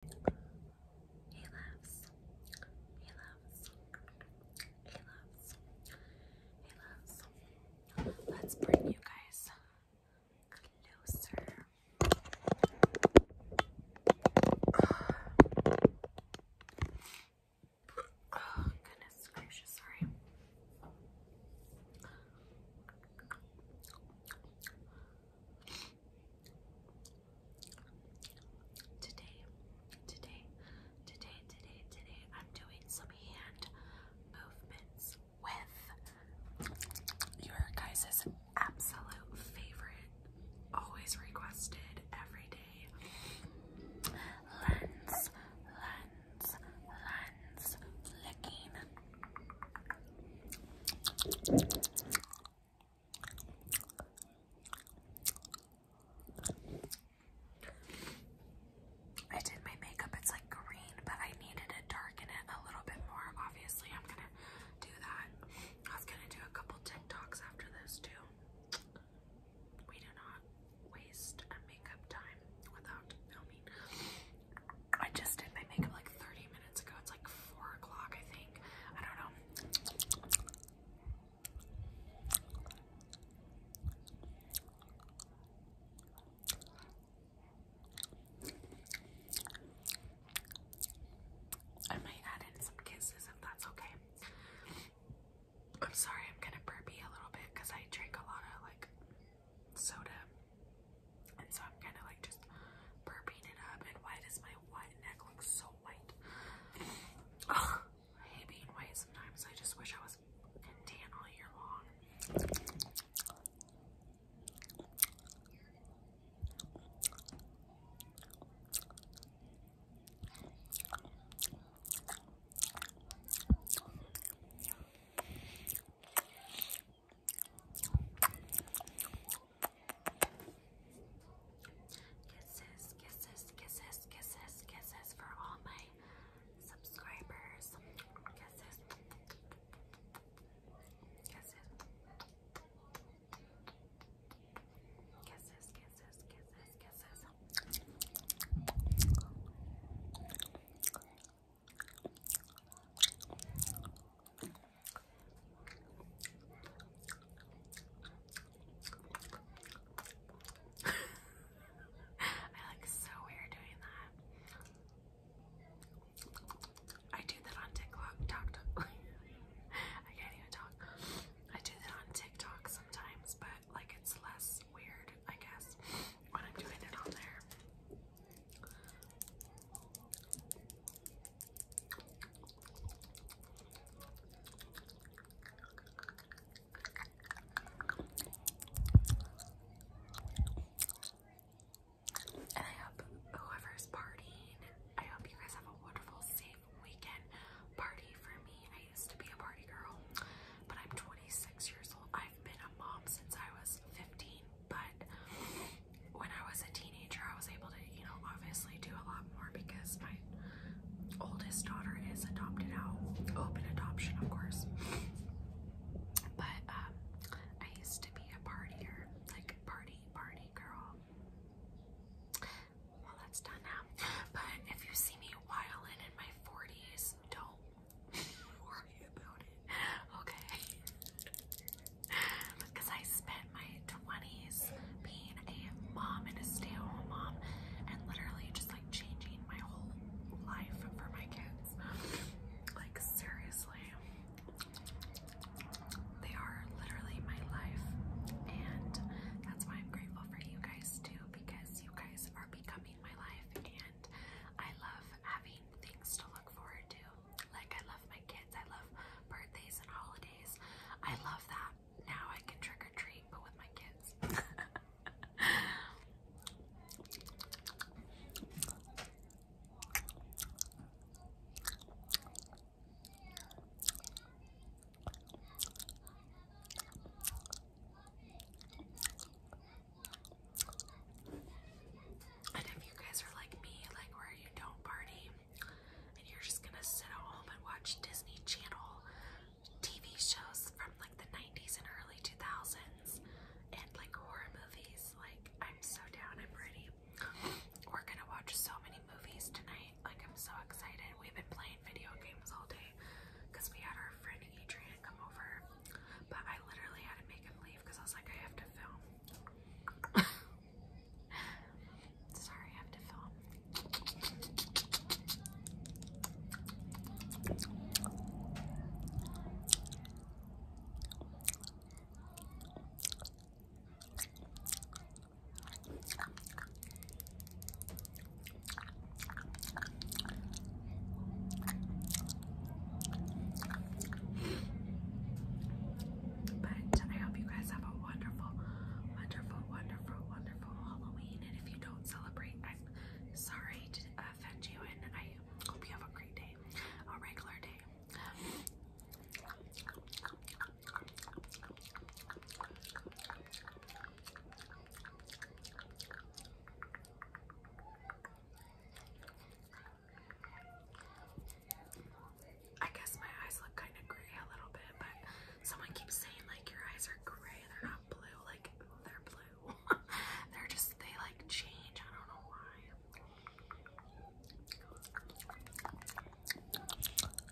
He loves, he loves, he loves, he loves. Let's bring you guys closer. Oh, goodness gracious, sorry. Today, today, today, today, today, I'm doing some hand movements with your guys' absolute favorite, always requested every day lens, lens, lens, licking, I did my makeup, it's like green, but I needed to darken it a little bit more. Obviously, I'm gonna do that. I was gonna do a couple TikToks after this, too. We do not waste makeup time without filming. I just did my makeup like 30 minutes ago. It's like 4 o'clock, I think. I don't know. I might add in some kisses if that's okay. I'm sorry, I'm gonna burpee a little bit because I drink a lot like soda. And so I'm kind of like just burping it up. And why does my white neck look so white? I hate being white sometimes. I just wish I was tan all year long. Kisses, kisses, kisses, kisses, kisses for all my subscribers. Kisses. Kisses. Kisses, kisses, kisses. I look so weird doing that. I do that on TikTok. I can't even talk. I do that on TikTok sometimes, but like it's less weird, I guess, when I'm doing it on there. And I hope whoever's partying, I hope you guys have a wonderful, safe weekend. Party for me. I used to be a party girl but I'm 26 years old. I've been a mom since I was 15, but when I was a teenager, I was able to, you know, obviously do a lot more because my oldest daughter is adopted out, open adoption, of course. But um, I used to be a partier, like party, party girl. Well, that's done now. But if you see me whiling in my 40s, don't okay? Because I spent my 20s being a mom and a stay at home mom and literally just like changing my whole life for my kids. Like, seriously, they are literally my life, and that's why I'm grateful for you guys too because you guys are becoming my life and I love having things to look forward to. Like I love my kids, I love birthdays and holidays. I love that. Now I can trick or treat but with my kids. And if you guys are like me, like where you don't party and you're just gonna sit at home and watch Disney Channel TV shows from like the 90s and early 2000s and like horror movies, like I'm so down, I'm ready. We're gonna watch so many movies tonight, like I'm so excited we've been playing video games all day because we had our friend Adrian come over. But I literally had to make him leave because I was like, I have to film. Sorry, I have to film. But I hope you guys have a wonderful, wonderful, wonderful, wonderful Halloween. And if you don't celebrate, I'm sorry to offend you, and I hope you have a great day, a regular day. I guess my eyes look kind of gray a little bit, but someone keeps saying like your eyes are gray, they're not blue, like they're blue. they're just they like change. I don't know why.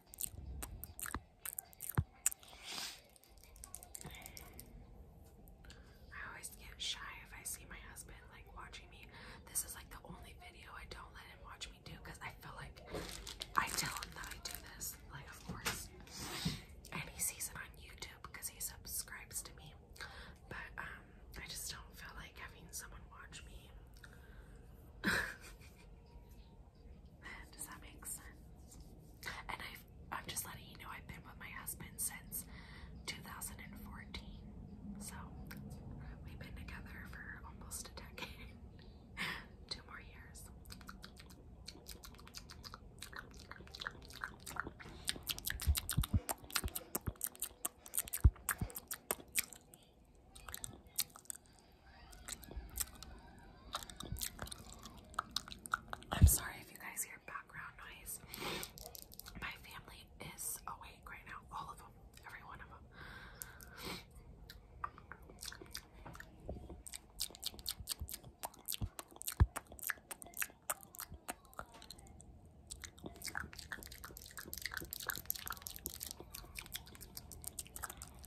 I always get shy if I see my husband like watching me. This is like the only video I don't let him watch me do because I feel like I tell him that I do this, like of course. And he sees it on YouTube because he subscribes to me. But um I just don't feel like having someone watch me. Does that make sense? And i am just letting you know I've been with my husband since 2014. So we've been together for almost a decade. Two more years. I'm sorry if you guys hear background noise. My family is awake right now. All of them. Every one of them.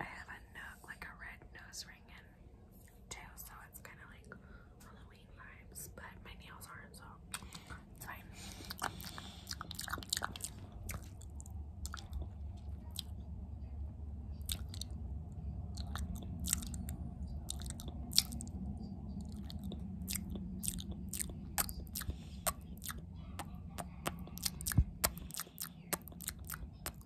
I have a no like a red nose ring and tail, so it's kind of like Halloween vibes. But my nails aren't, so it's fine.